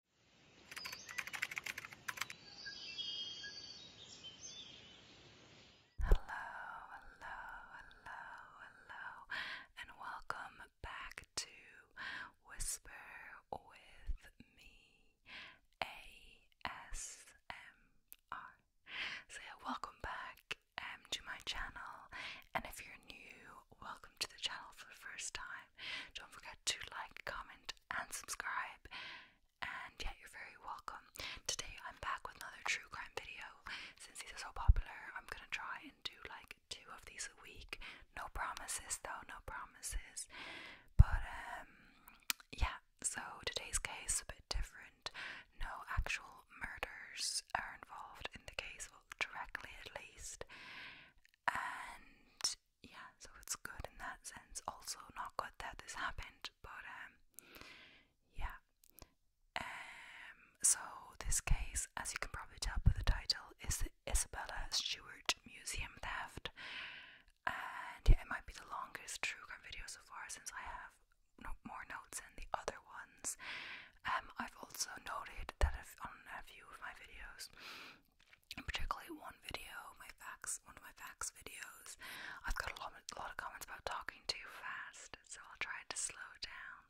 Hello, hello, hello, hello, and welcome back to Whisper with Me ASMR. So, welcome back um, to my channel, and if you're new, welcome to the channel for the first time. Don't forget to like, comment, and subscribe. And yeah, you're very welcome. Today I'm back with another true crime video. Since these are so popular, I'm gonna try and do like two of these a week. No promises though, no promises. But um yeah, so today's case a bit different. No actual murders are involved in the case, well directly at least. And yeah, so it's good in that sense. Also, not good that this happened, but um, yeah. Um, so this case, as you can probably tell by the title, is the Isabella Stewart Museum theft, and yeah, it might be the longest true crime video so far since I have no more notes than the other ones. Um, I've also noted that i on a few of my videos, and particularly one video, my facts, one of my facts videos. I've got a lot, a lot of comments about talking too fast, so I'll try to slow down.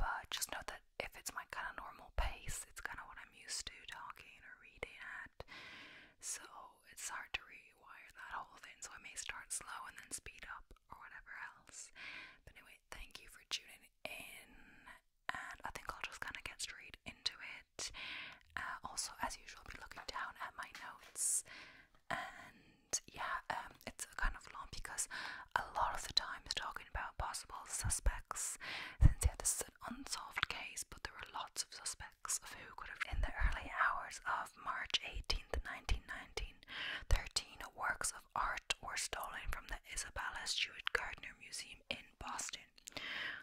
But just note that if it's my kind of normal pace, it's kind of what I'm used to talking or reading at. So it's hard to rewire that whole thing. So I may start slow and then speed up or whatever else. But anyway, thank you for tuning in and I think I'll just kind of get straight into it. Uh, also, as usual, I'll be looking down at my notes, and yeah, um, it's kind of long because a lot of the time it's talking about possible suspects. Since yeah, this is an unsolved case, but there were lots of suspects of who could have. In the early hours of March 18th, 1919, 13 works of art were stolen from the Isabella Stewart Gardner Museum in Boston.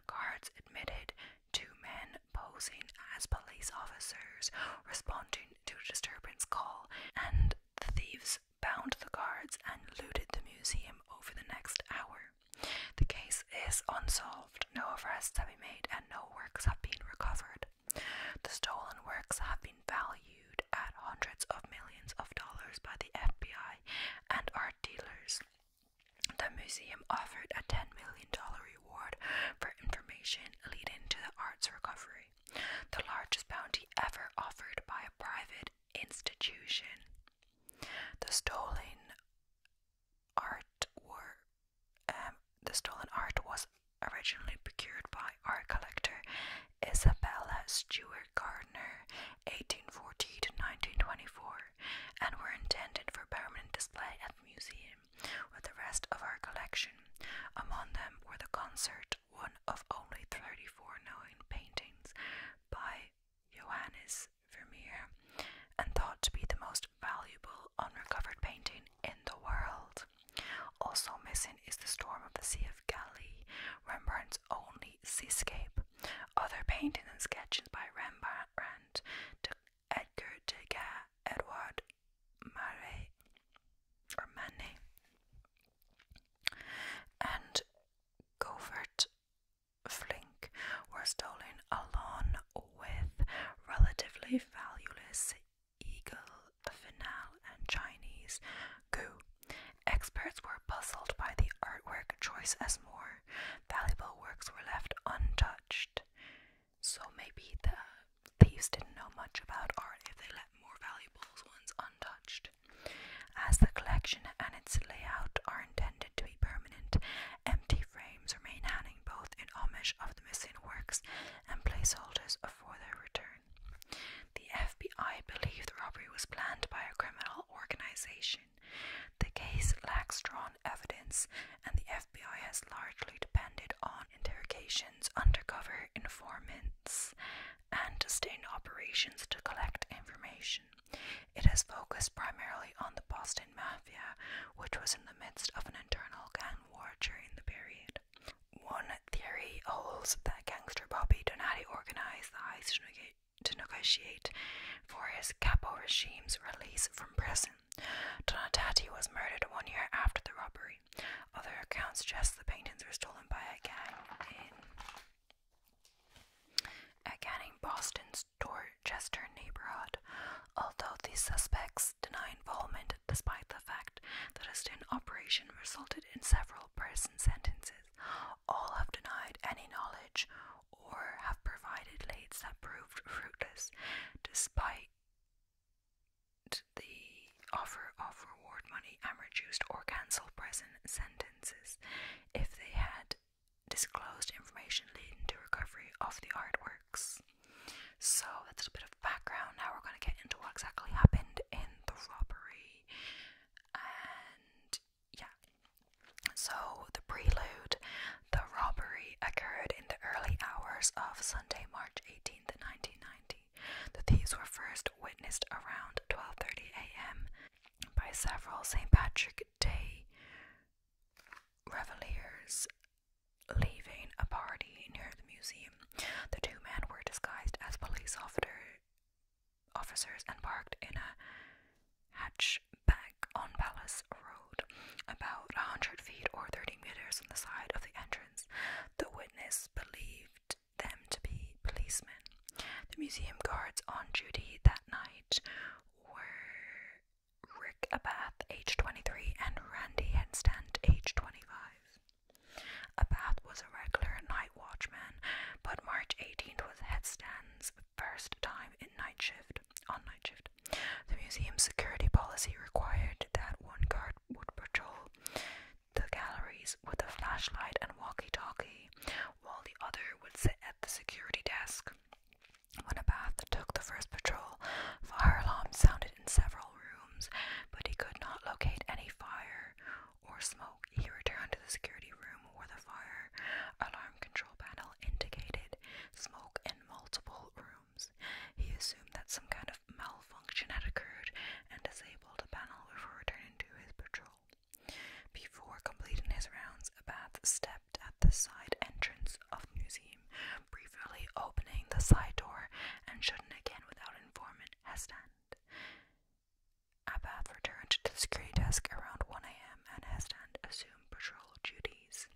Guards admitted two men posing as police officers responding to a disturbance call, and the thieves bound the guards and looted the museum over the next hour. The case is unsolved, no arrests have been made, and no works have been recovered. The stolen works have been valued at hundreds of millions of dollars by the FBI and are dealers. The museum offered a $10 million reward for information leading to the arts recovery, the largest bounty ever offered by a private institution. The stolen art were, um, the stolen art was originally procured by art collector Isabella Stewart Edward Gardner, 1840 to 1924, and were intended for permanent display at the museum with the rest of our collection. Among them were the concert, one of only 34 known paintings by Johannes Vermeer, and thought to be the most valuable unrecovered painting in the world. Also missing is the Storm of the Sea of Galilee, Rembrandt only seascape. Other paintings and sketches by Rembrandt, Edgar Degas, Edward Marais, or Manet, and covert Flink were stolen along with relatively valueless eagle, finale, and Chinese goo. Experts were puzzled by the artwork choice as more valuable works were left untouched. So maybe the thieves didn't know much about art if they left more valuable ones untouched. As the collection and its layout are intended to be permanent, empty frames remain hanging both in homage of the missing works and placeholders for their return. The FBI believed the robbery was planned by a criminal organization. The case lacks strong evidence, and the FBI has largely depended on interrogations, undercover informants, and sustained operations to collect information. It has focused primarily on the Boston Mafia, which was in the midst of an internal gang war during the period. One theory holds that gangster Bobby Donati organized the heist to negotiate for his capo regime's release from prison. Donatati was murdered one year after the robbery. Other accounts suggest the paintings were stolen by a gang in Boston's Dorchester neighborhood, although the suspects deny involvement despite the fact that a sting operation resulted in several person sentences all have denied any knowledge or have provided leads that proved fruitless despite the offer of reward money and reduced or cancelled prison sentences if they had disclosed information leading to recovery of the artworks. So that's a bit of background. Now we're going to get into what exactly happened in the robbery yeah. So, the prelude, the robbery occurred in the early hours of Sunday, March 18th, 1990. The thieves were first witnessed around 12:30 a.m. by several St. Patrick Day revellers leaving a party near the museum. The two men were disguised as police officers officers embarked in a hatchback on Palace Road, about a hundred feet or thirty meters from the side of the entrance. The witness believed them to be policemen. The museum guards on duty that night were Rick Abath, age 23, and Randy Henstand, age 25. Abath was a regular night watchman, but March 18th was Headstand's first time in night shift. On night shift, the museum's security policy required that one guard would patrol the galleries with a flashlight and walkie-talkie, while the other would sit at the security desk. When Abath took the first patrol, fire alarms sounded in several rooms, but he could not locate any fire or smoke, he returned to the security room where the fire alarm control panel indicated smoke in multiple rooms. He assumed that some kind of malfunction had occurred and disabled the panel before returning to his patrol. Before completing his rounds, a Abath stepped at the side entrance of the museum, briefly opening the side door and shutting again without informing Hestand. Abath returned to the security desk around 1 a.m. and Hesland assumed patrol duties.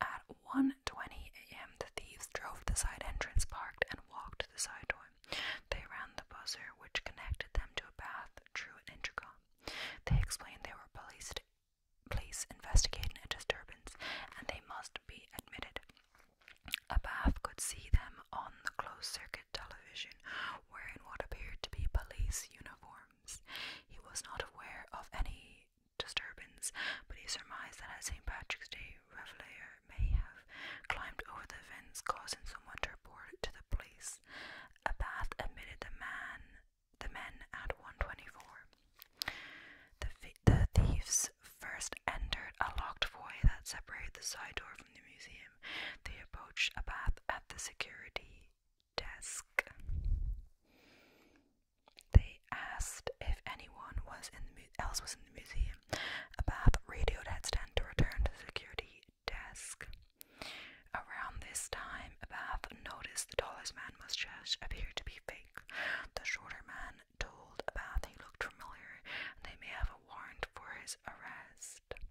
At 1.20 a.m., the thieves drove to the side entrance, parked, and walked to the side door. They ran the buzzer, which connected them to a path through an intercom. They explained they were police, police investigating a disturbance, and they must be admitted. Abath could see them on the closed circuit television wearing what appeared to be police uniforms. He was not aware of any disturbance, but he surmised that at St. Patrick's Day, Revelator may have climbed over the fence, causing someone to report it to the police. A bath admitted the man, the men at 124. The, the thieves first entered a locked foyer that separated the side door from the museum. They approached a Abath at the security desk. They asked if anyone else was in the museum. A Abath radioed Headstand to return to the security desk. Around this time, a Abath noticed the tallest man mustache appeared to be fake. The shorter man told a Abath he looked familiar and they may have a warrant for his arrest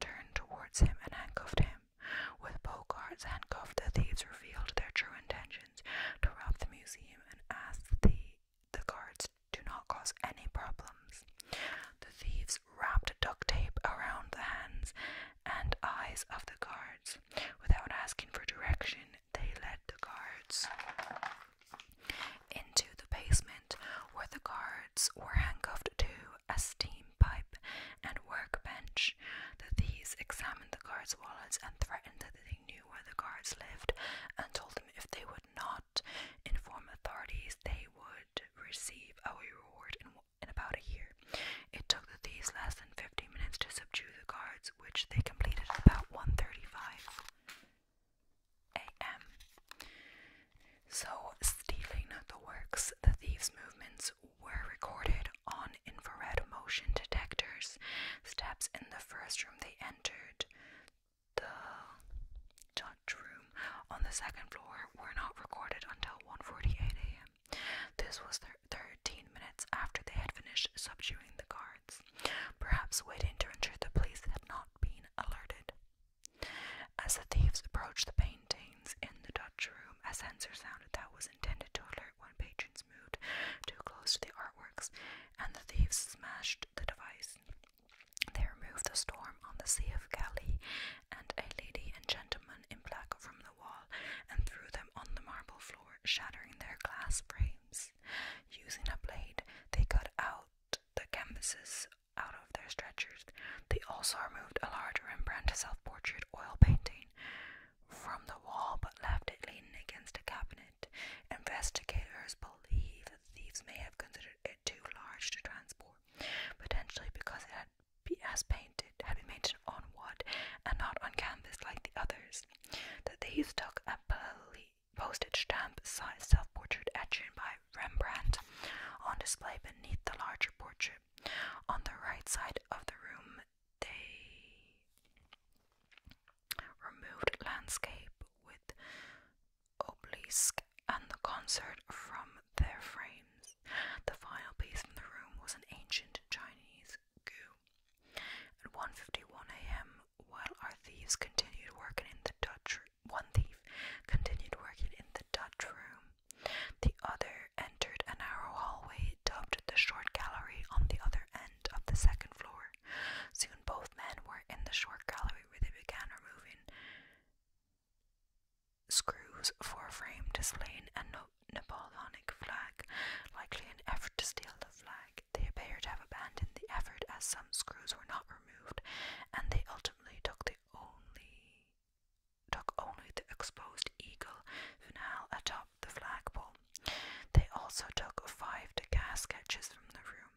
turned towards him and handcuffed him. With Bogarts handcuffed, the thieves revealed their true intentions to rob the museum and asked the, the guards to not cause any problems. The thieves wrapped duct tape around the hands and eyes of the guards. Without asking for direction, they led the guards into the basement where the guards were handcuffed too a steam pipe and workbench. The thieves examined the guards' wallets and threatened that they knew where the guards lived and told them if they would not inform authorities, they would receive a reward in, about a year. It took the thieves less than 15 minutes to subdue the guards, which they completed at about 1.35 a.m. So, stealing the works, the thieves' movements were recorded on infrared motion detectors. Steps in the first room they entered, the judge room on the second floor, were not recorded until 1:48 a.m. This was 13 minutes after they had finished subduing the guards. Perhaps waiting to ensure the police had not been alerted. As the thieves approached the paintings in the Dutch room, a sensor sounded that was intended to alert when patrons moved too close to the artworks, and the thieves smashed the device. They removed the storm on the Sea of Galilee and a lady and gentleman in black from the wall and threw them on the marble floor, shattering their glass frames. Using a blade, they cut out the canvases out remove their stretchers. They also removed a large Rembrandt self-portrait oil painting from the wall but left it leaning against a cabinet. Investigators believe that the thieves may have considered it too large to transport, potentially because it had be painted had been painted on wood and not on canvas like the others. That these took a postage stamp-sized self-portrait etching by Rembrandt on display beneath the larger portrait on the right side of the room, they removed landscape with obelisk and the concert from their frames. The final piece from the room was an ancient Chinese goo. At one fifty-one a.m., while our thieves continued working in the Dutch, one thief continued working in the Dutch room. The other entered a narrow hallway dubbed the short gallery on the other end of the second floor. Soon both men were in the short gallery where they began removing screws for a frame displaying a no Napoleonic flag, likely an effort to steal the flag. They appear to have abandoned the effort as some screws were not removed, and they ultimately took the only Took only the exposed eagle funeral atop the flagpole. They also took five to sketches from the room.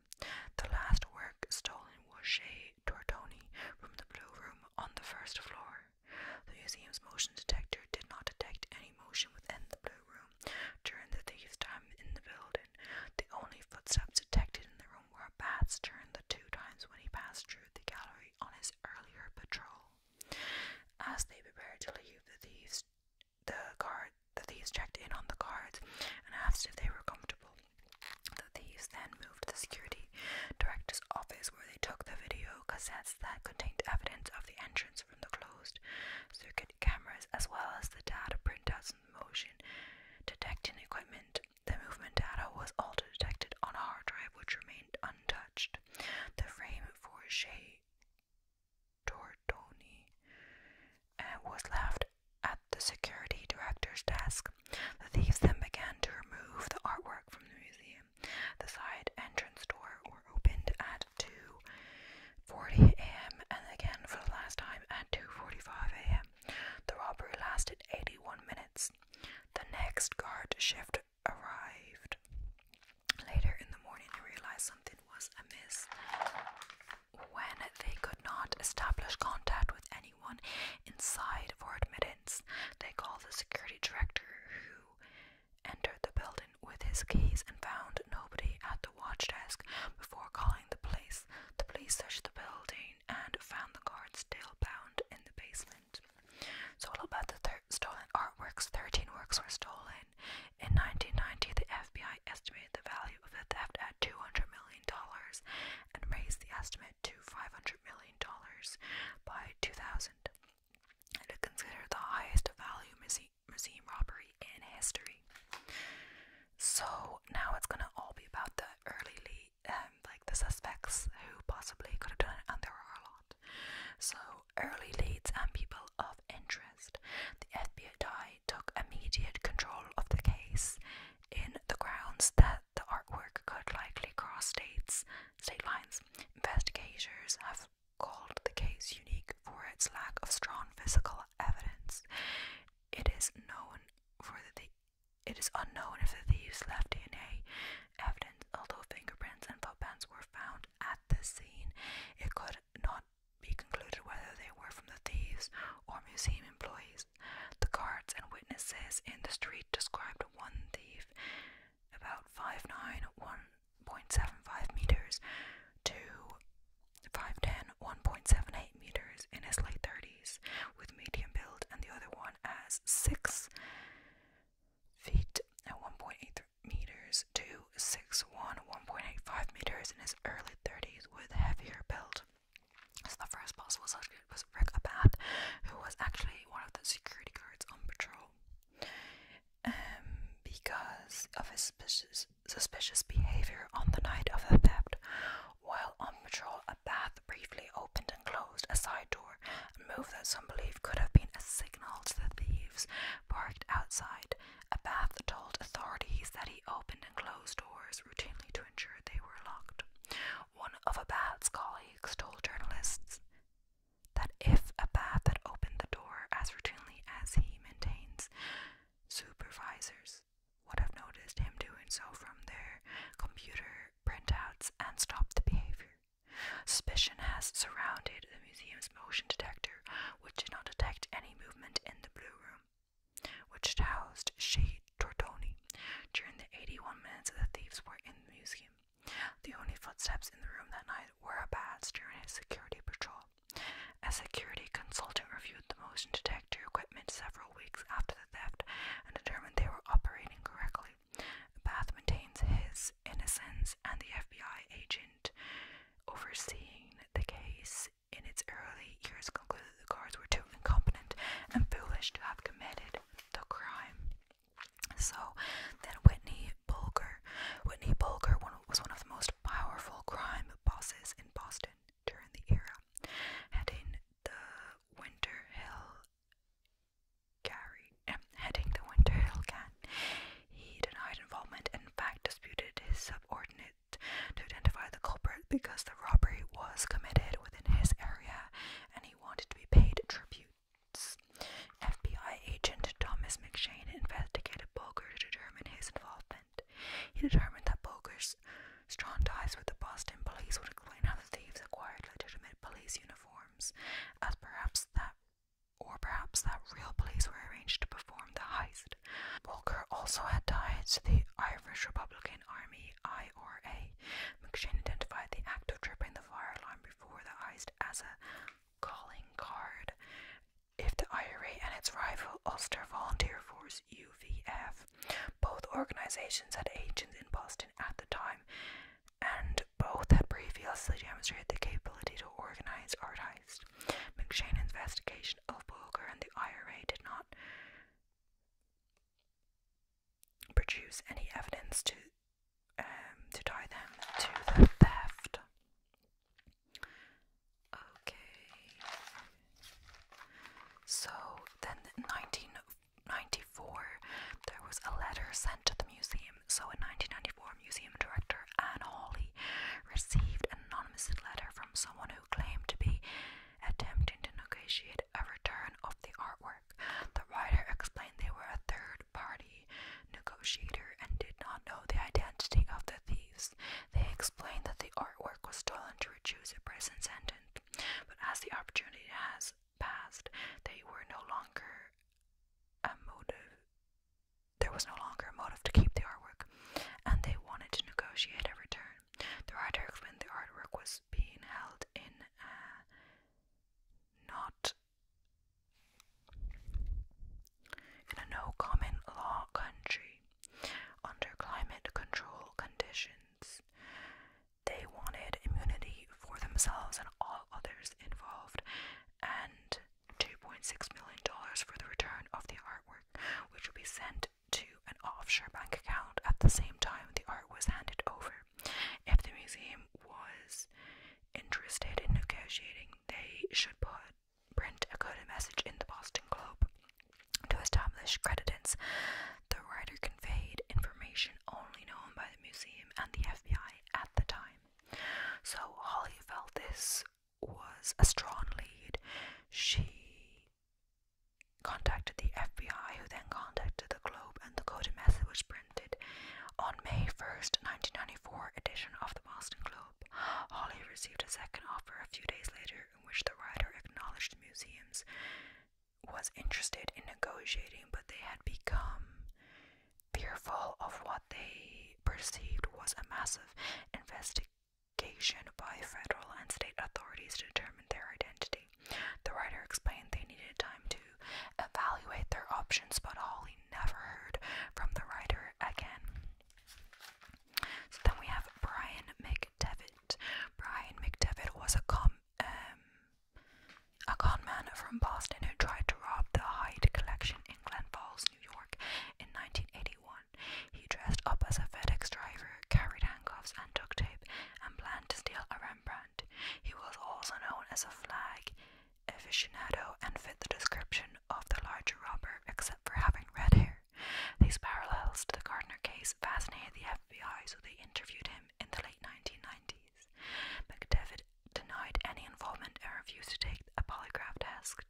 The last work stolen was Chez Tortoni from the Blue Room on the first floor. The museum's motion detector did not detect any motion within the Blue Room during the thief's time in the building. The only footsteps detected in the room room bats during the two times when he passed through the gallery on his earlier patrol. As they prepared to leave, the thieves the guard the thieves checked in on the guards and asked if they were comfortable. The thieves then moved to the security director's office where they took the video cassettes that contained evidence of the entrance from the closed circuit cameras as well as the data printouts and motion detecting equipment the movement data was also detected on a hard drive which remained untouched. The frame for Shea Tortoni uh, was left at the security director's desk. The thieves then began to remove the artwork from the museum. The side entrance door were opened at 2:40 a.m. and again for the last time at 2:45 a.m. The robbery lasted 81 minutes. The next guard shift arrived. Later in the morning, they realized something was amiss. When they could not establish contact with anyone inside for admittance, they called the security director, who entered the building with his keys and found nobody at the watch desk before calling the police. The police searched the building and found the guard still bound in the basement. So all about the thir stolen artworks. 13 works were stolen. In 1990, the FBI estimated the value of the theft at $200 million and raised the estimate to $500 million by 2000. And it considered the highest value museum robbery in history. So now it's going to all be about the early lead um, like the suspects who possibly could have done it, and there are a lot. So early leads and people of interest. The FBI took immediate control of the case in the grounds that the artwork could likely cross states state lines. Investigators have called the case unique for its lack of strong physical evidence. It is known for the it is unknown if the thieves left DNA evidence, although fingerprints and footprints were found at the scene. It could not be concluded whether they were from the thieves or museum employees. The guards and witnesses in the street described one thief about 5'9, 1.75 meters to 5'10, 1.78 meters in his late 30s with medium build, and the other one as six feet and uh, 1.8 meters to 1.85 meters in his early 30s with heavier build. So the first boss was, Rick Abath, who was actually one of the security guards on patrol. Um, because of suspicious, suspicious behavior on the night of the theft, while on patrol, a path briefly opened and closed a side door, a move that some believe could have been a signal to the thieves parked outside. A path told authorities that he opened and closed doors routinely to ensure they were locked. One of Abad's colleagues told journalists that if Abad had opened the door as routinely as he maintains, supervisors would have noticed him doing so from their computer printouts and stop the behavior. Suspicion has surrounded the museum's motion detector, which did not detect any movement in the Blue Room, which housed Shade Tortoni. During the 81 minutes that the thieves were in the museum, the only footsteps in the room that night were a bad's during a security patrol. A security consultant reviewed the motion detector equipment several weeks after the theft and determined they were operating correctly. Bath maintains his innocence, and the FBI agent overseeing the case in its early years concluded the guards were too incompetent and foolish to have committed the crime. So then Whitney Bulger. Whitney Bulger was one of the most powerful crime bosses in Boston during the era, heading the Winter Hill Gary, heading the Winter Hill Gang. He denied involvement and, in fact, disputed his subordinate to identify the culprit because the robbery was committed within his area and he wanted to be paid tributes. FBI agent Thomas McShane investigated Bolger to determine his involvement. He determined that Bolger's. Strong ties with the Boston police would explain how the thieves acquired legitimate police uniforms, as perhaps that or perhaps that real police were arranged to perform the heist. Volker also had ties to the Irish Republican Army IRA. McShane identified the act of tripping the fire alarm before the heist as a calling card. If the IRA and its rival Ulster Volunteer Force UVF both organizations had agents in Boston at the time, and both had previously demonstrated the capability to organize art heists. McShane's investigation of Bulger and the IRA did not produce any evidence to um, to tie them to the theft. Okay. So then, 19 1994, there was a letter sent to the museum. So, in 1994, museum director Anne Hawley received an anonymous letter from someone who claimed to be attempting to negotiate a return of the artwork. The writer explained they were a third party negotiator and did not know the identity of the thieves. They explained that the artwork was stolen to reduce the present sentence, but as the opportunity has passed, they were no longer a motive. There was no longer a motive to keep the artwork, and they wanted to negotiate a return. The writer the artwork was being held in a not in a no common law country under climate control conditions. They wanted immunity for themselves and all others involved, and $2.6 million for the return of the artwork, which would be sent to an offshore bank account at the same time the art was handed over. If the museum was interested in negotiating, they should put print a coded message in the Boston Globe to establish credence, the writer conveyed information only known by the museum and the FBI at the time. So Holly felt this was a strong lead. She contacted the FBI, who then contacted the Globe, and the coded message was printed on May 1st, 1994 edition of the Boston Globe. Holly received a second offer a few days later in which the writer acknowledged the museum's was interested in negotiating, but they had become fearful of what they perceived was a massive investigation by federal and state authorities to determine their identity. The writer explained they needed time to evaluate their options, but Holly never heard from the writer again. So then we have Brian McDevitt. Brian McDevitt was a com um, a con man from Boston who tried to rob the Hyde Collection in Glen Falls, New York, in 1981. He dressed up as a FedEx driver, carried handcuffs and duct tape, and planned to steal a Rembrandt. He was also known as a flag aficionado and fit the description of the larger robber, except for having red hair. These parallels to the Gardner case fascinated the the FBI, so they interviewed him in the late 1990s. McDevitt denied any involvement and refused to take a polygraph test.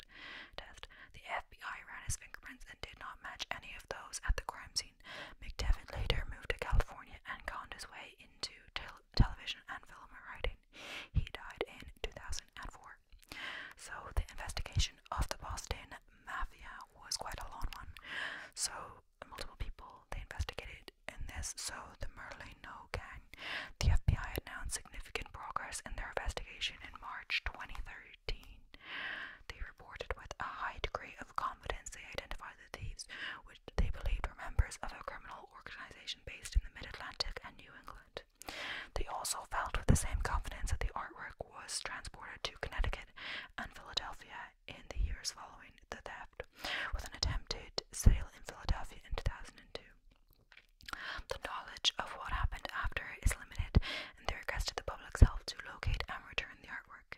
The FBI ran his fingerprints and did not match any of those at the crime scene. McDavid later moved to California and found his way into television and film writing. He died in 2004. So the investigation of the Boston mafia was quite a long one. So multiple people they investigated in this. So the Merlino gang, the FBI announced significant progress in their investigation in March 2013. They reported with a high degree of confidence they identified the thieves, which they believed were members of a criminal organization based in the Mid-Atlantic and New England. They also felt with the same confidence that the artwork was transported to Connecticut and Philadelphia in the years following the theft, with an attempted sale in Philadelphia in 2002. The knowledge of what happened after is limited, and they requested the public's help to locate and return the artwork.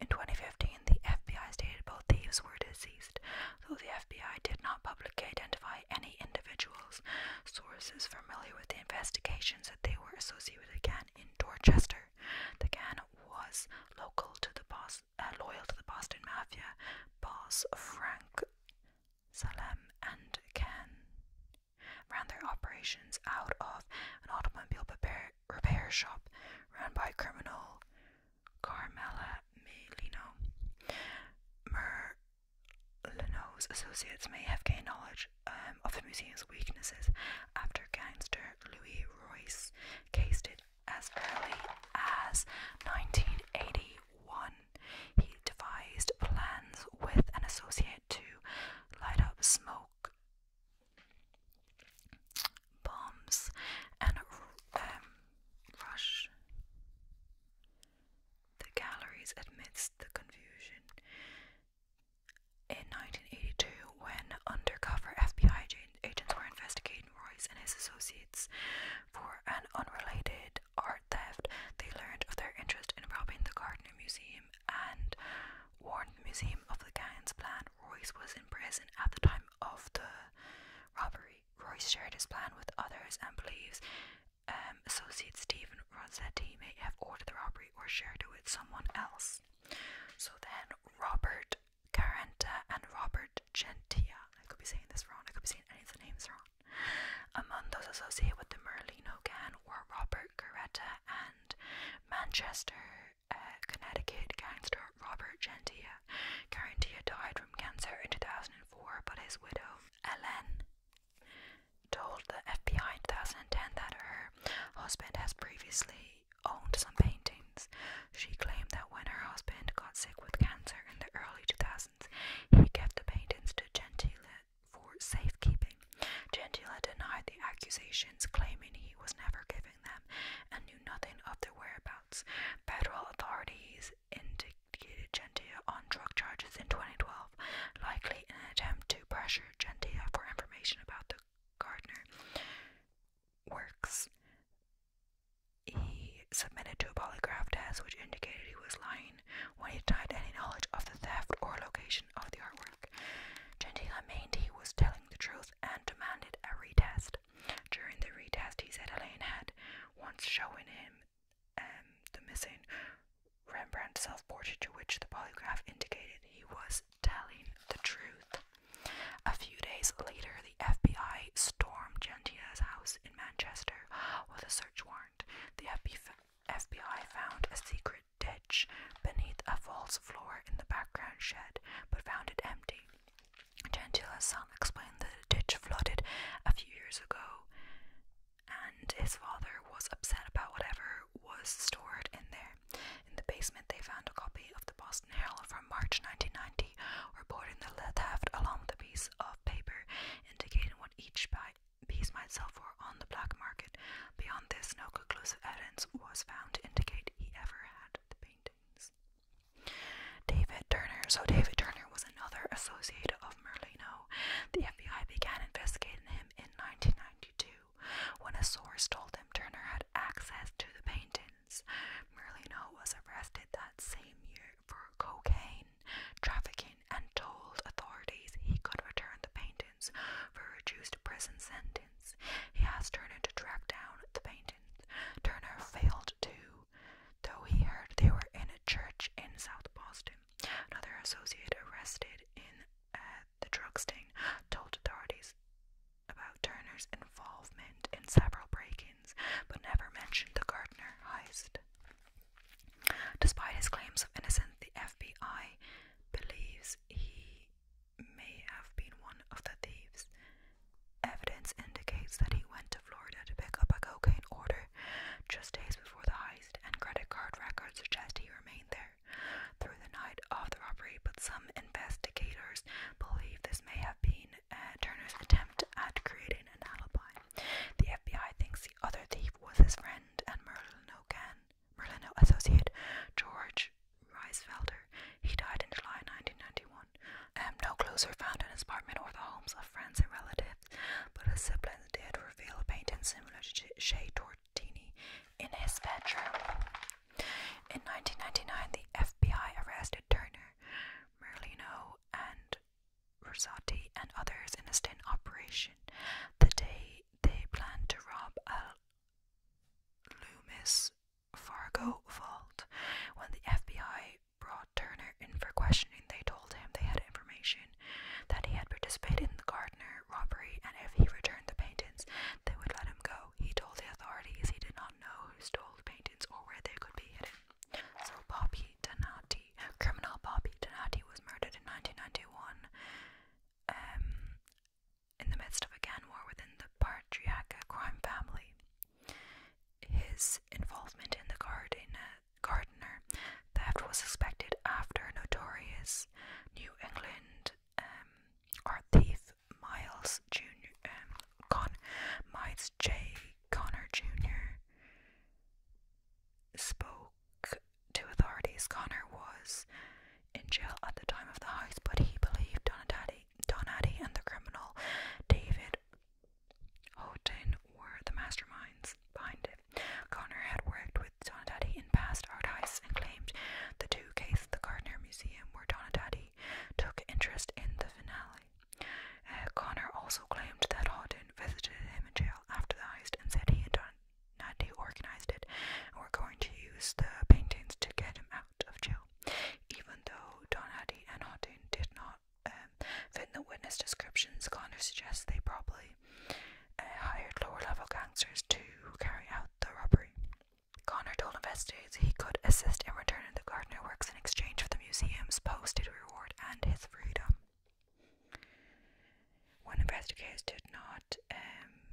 In 2015, the FBI stated both thieves were deceased, though the FBI did not publicly identify any individuals. Sources familiar with the investigations said they were associated again in Dorchester the gang was local to the uh, loyal to the Boston Mafia boss Frank Salem and Ken. Ran their operations out of an automobile repair, shop run by criminal Carmela Melino. Merlino's associates may have gained knowledge um, of the museum's weaknesses after gangster Louis Royce cased it as early as 1981. He devised plans with an associate to light up smoke bombs and um, rush the galleries amidst the confusion. In 1982, when undercover FBI agents were investigating Royce and his associates for an unrelated art theft, they learned of their interest in robbing the Gardner Museum and warned the museum of the gang's plan. Royce was in prison at the time of the robbery. Royce shared his plan with others and believes um, associate Stephen Rossetti may have ordered the robbery or shared it with someone else. So then Robert Carenta and Robert Gentia. I could be saying this wrong. I could be saying any of the names wrong. Among those associated with the Merlino gang were Robert Caretta and Manchester, uh, Connecticut gangster Robert Gentia. Carintia died from cancer in 2004, but his widow, Ellen told the FBI in 2010 that her husband has previously owned some paintings. She claimed that when her husband got sick with cancer in the early 2000s, he gave the paintings to Gentile for safekeeping. Gentile denied the accusations, claiming he was never giving them and knew nothing of their whereabouts. Federal authorities indicted Gentile on drug charges in 2012, likely in an attempt to pressure Gentile for information about the Gardner works. He submitted to a polygraph test which indicated he was lying when he denied any knowledge of the theft or location of the artwork. Gentile maintained he was telling the truth and demanded a retest. During the retest, he said Elaine had once shown him um, the missing Rembrandt's self-portrait to which the polygraph indicated he was telling the truth. A few days later, the FBI stormed Gentia's house in Manchester with a search warrant. The FBI found a secret ditch beneath a false floor in the background shed, but found it empty. Gentila's son explained that the ditch flooded a few years ago, and his father was upset about whatever was stored in there. In the basement, they found a copy of the Boston Herald from March 1990, reporting the lead theft along with a piece of paper indicating what each piece might sell for on the black market. Beyond this, no conclusive evidence was found to indicate he ever had the paintings. David Turner. So, David Turner was another associate of Merlino. The FBI began investigating him in 1992 when a source told him Turner had access to the paintings, Merlino was arrested that same year for cocaine trafficking and told authorities he could return the paintings for a reduced prison sentence. He asked Turner to track down the paintings. Turner failed to, though he heard they were in a church in South Boston. Another associate arrested in uh, the drug stain, told authorities about Turner's involvement in several break-ins, but never mentioned the Gardner heist. Despite his claims of innocence, the FBI believes he may have been one of the thieves. Evidence indicates that he went to Florida to pick up a cocaine order just days before the heist, and credit card records suggest he remained there through the night of the robbery, but some investigators believe this may have been uh, Turner's attempt at creating an alibi. The FBI thinks the other thief was his friend and Merlin O'Gan, Merlin associate George Reisfelder. He died in July 1991. Um, no clues were found in his apartment or the homes of friends and relatives, but his siblings did reveal a painting similar to Shea Tor in his bedroom. In 1999, the FBI arrested Turner, Merlino, and Rosati and others in a sting operation. The day they planned to rob a Loomis Fargo vault, when the FBI brought Turner in for questioning, they told him they had information that he had participated in the Gardener robbery, and if he returned the paintings, they would let him go. He told the authorities he did not know who stole the paintings or where they could be hidden. So Bobby Donati, criminal Bobby Donati, was murdered in 1991. Um, in the midst of a gang war within the Patriarca crime family. His involvement in the Gardener theft was suspected after notorious New England um, are Thief Miles Jr. Um, Con Miles J. Connor Jr. spoke to authorities. Connor was in jail at the time of the house, but he believed Donati, Donati and the criminal David Houghton were the masterminds behind it motive. Connor had worked with Donadaddy in past art heists and claimed the two cases at the Gardner Museum where Donadaddy took interest in the finale. Uh, Connor also claimed that Houghton visited him in jail after the heist and said he had done Naddy organized it We're going to use the paintings to get him out of jail. Even though Donaddy and Houghton did not um, fit the witness descriptions, Connor suggests they probably uh, hired lower level gangsters to carry out the robbery. Connor told investigators he could assist in returning the Gardner works in exchange for the museum's posted reward and his freedom. When investigators did not um,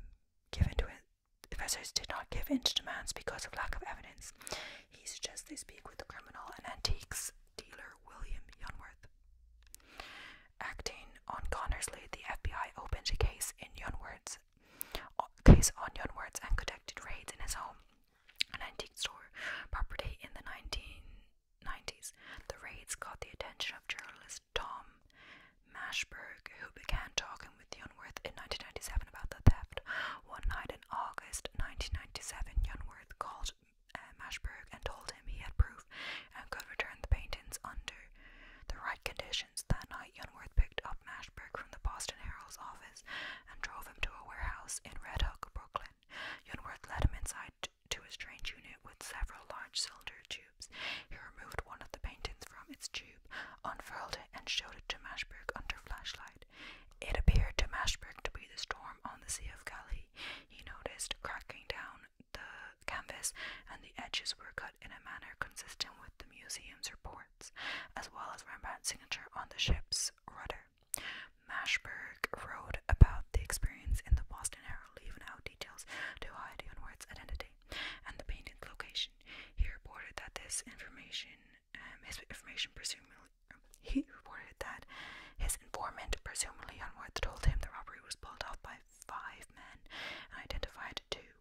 give into it, investigators did not give in to demands because of lack of evidence. He suggests they speak with the criminal and antiques dealer William Yunworth. Acting on Connor's lead, the FBI opened a case in Yunward's case on Yunward's and conducted raids in his home, and antique store property in the 1990s. The raids caught the attention of journalist Tom Mashberg, who began talking with Yonworth in 1997 about the theft. One night in August 1997, Yonworth called uh, Mashberg and told him he had proof and could return the paintings undo the right conditions. That night, Youngworth picked up Mashburg from the Boston Herald's office and drove him to a warehouse in Red Hook, Brooklyn. Youngworth led him inside to a strange unit with several large cylinder tubes. He removed one of the paintings from its tube, unfurled it, and showed it to Mashburg under flashlight. It appeared to Mashburg to be the storm on the Sea of Galilee. He noticed cracking down the canvas, and the edges were cut in a manner consistent with the museum's reports, as well as Rembrandt's signature on the ship's rudder. Mashberg wrote about the experience in the Boston Herald, leaving out details to hide Unward's identity and the painting's location. He reported that this information, um, his information presumably, he reported that his informant, presumably Unworth, told him the robbery was pulled off by five men identified two.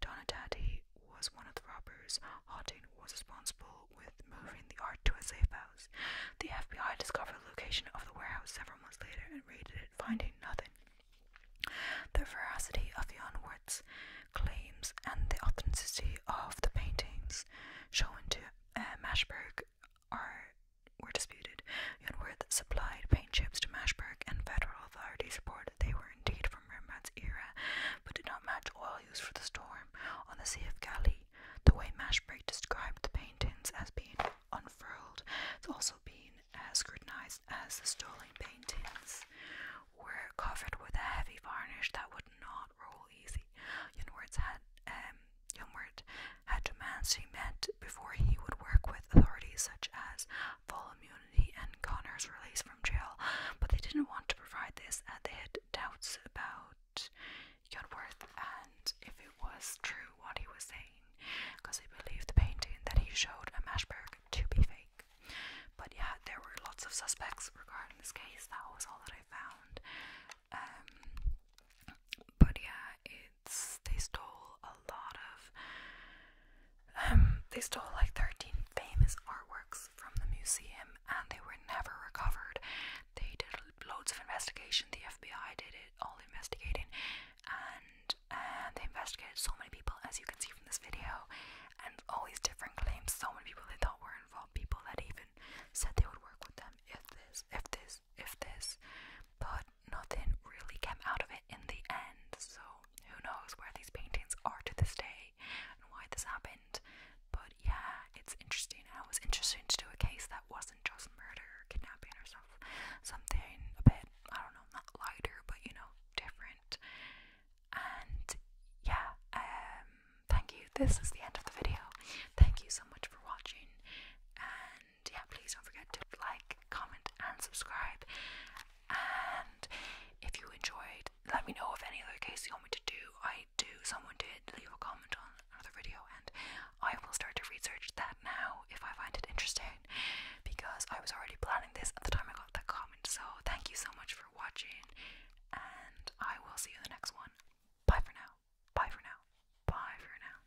Donatati was one of the robbers. Houghton was responsible with moving the art to a safe house. The FBI discovered the location of the warehouse several months later and raided it, finding nothing. The veracity of the onwards claims and the authenticity of the paintings shown to uh, Mashberg are were disputed. Yunworth supplied paint chips to Mashburg, and federal authorities reported they were indeed from Rembrandt's era, but did not match oil used for the storm on the Sea of Galilee. The way Mashburg described the paintings as being unfurled has also been uh, scrutinized as the stolen paintings were covered with a heavy varnish that would not roll easy. Yunworth had um, Yunworth had demands to be met before he would work with authorities such as full immunity and Connor's release from jail, but they didn't want to provide this and they had doubts about Yudworth and if it was true what he was saying, because they believed the painting that he showed at Mashburg to be fake. But yeah, there were lots of suspects regarding this case. That was all that I found. Um, but yeah, it's they stole a lot of um they stole like 13 famous artworks from the museum and they were never recovered. They did loads of investigation, the FBI did it, all investigating, and and uh, they investigated so many people as you can see from this video and all these different claims, so many people they thought were involved, people that even said they would work with them if this if this if this, but nothing really came out of it in the end. So who knows where these paintings are to this day and why this happened. But yeah, it's interesting. I was interested to do a case that wasn't just murder kidnapping or stuff. Something a bit, I don't know, not lighter, but you know, different. And yeah, um, thank you. This is the end of the video. Thank you so much for watching. And and yeah, please don't forget to like, comment, and subscribe. And if you enjoyed, let me know if any other case you want me to do. I do, someone did leave a comment on another video, and I will start to research that now if I find it interesting because I was already planning this at the time I got that comment. So, thank you so much for watching, and I will see you in the next one. Bye for now. Bye for now. Bye for now.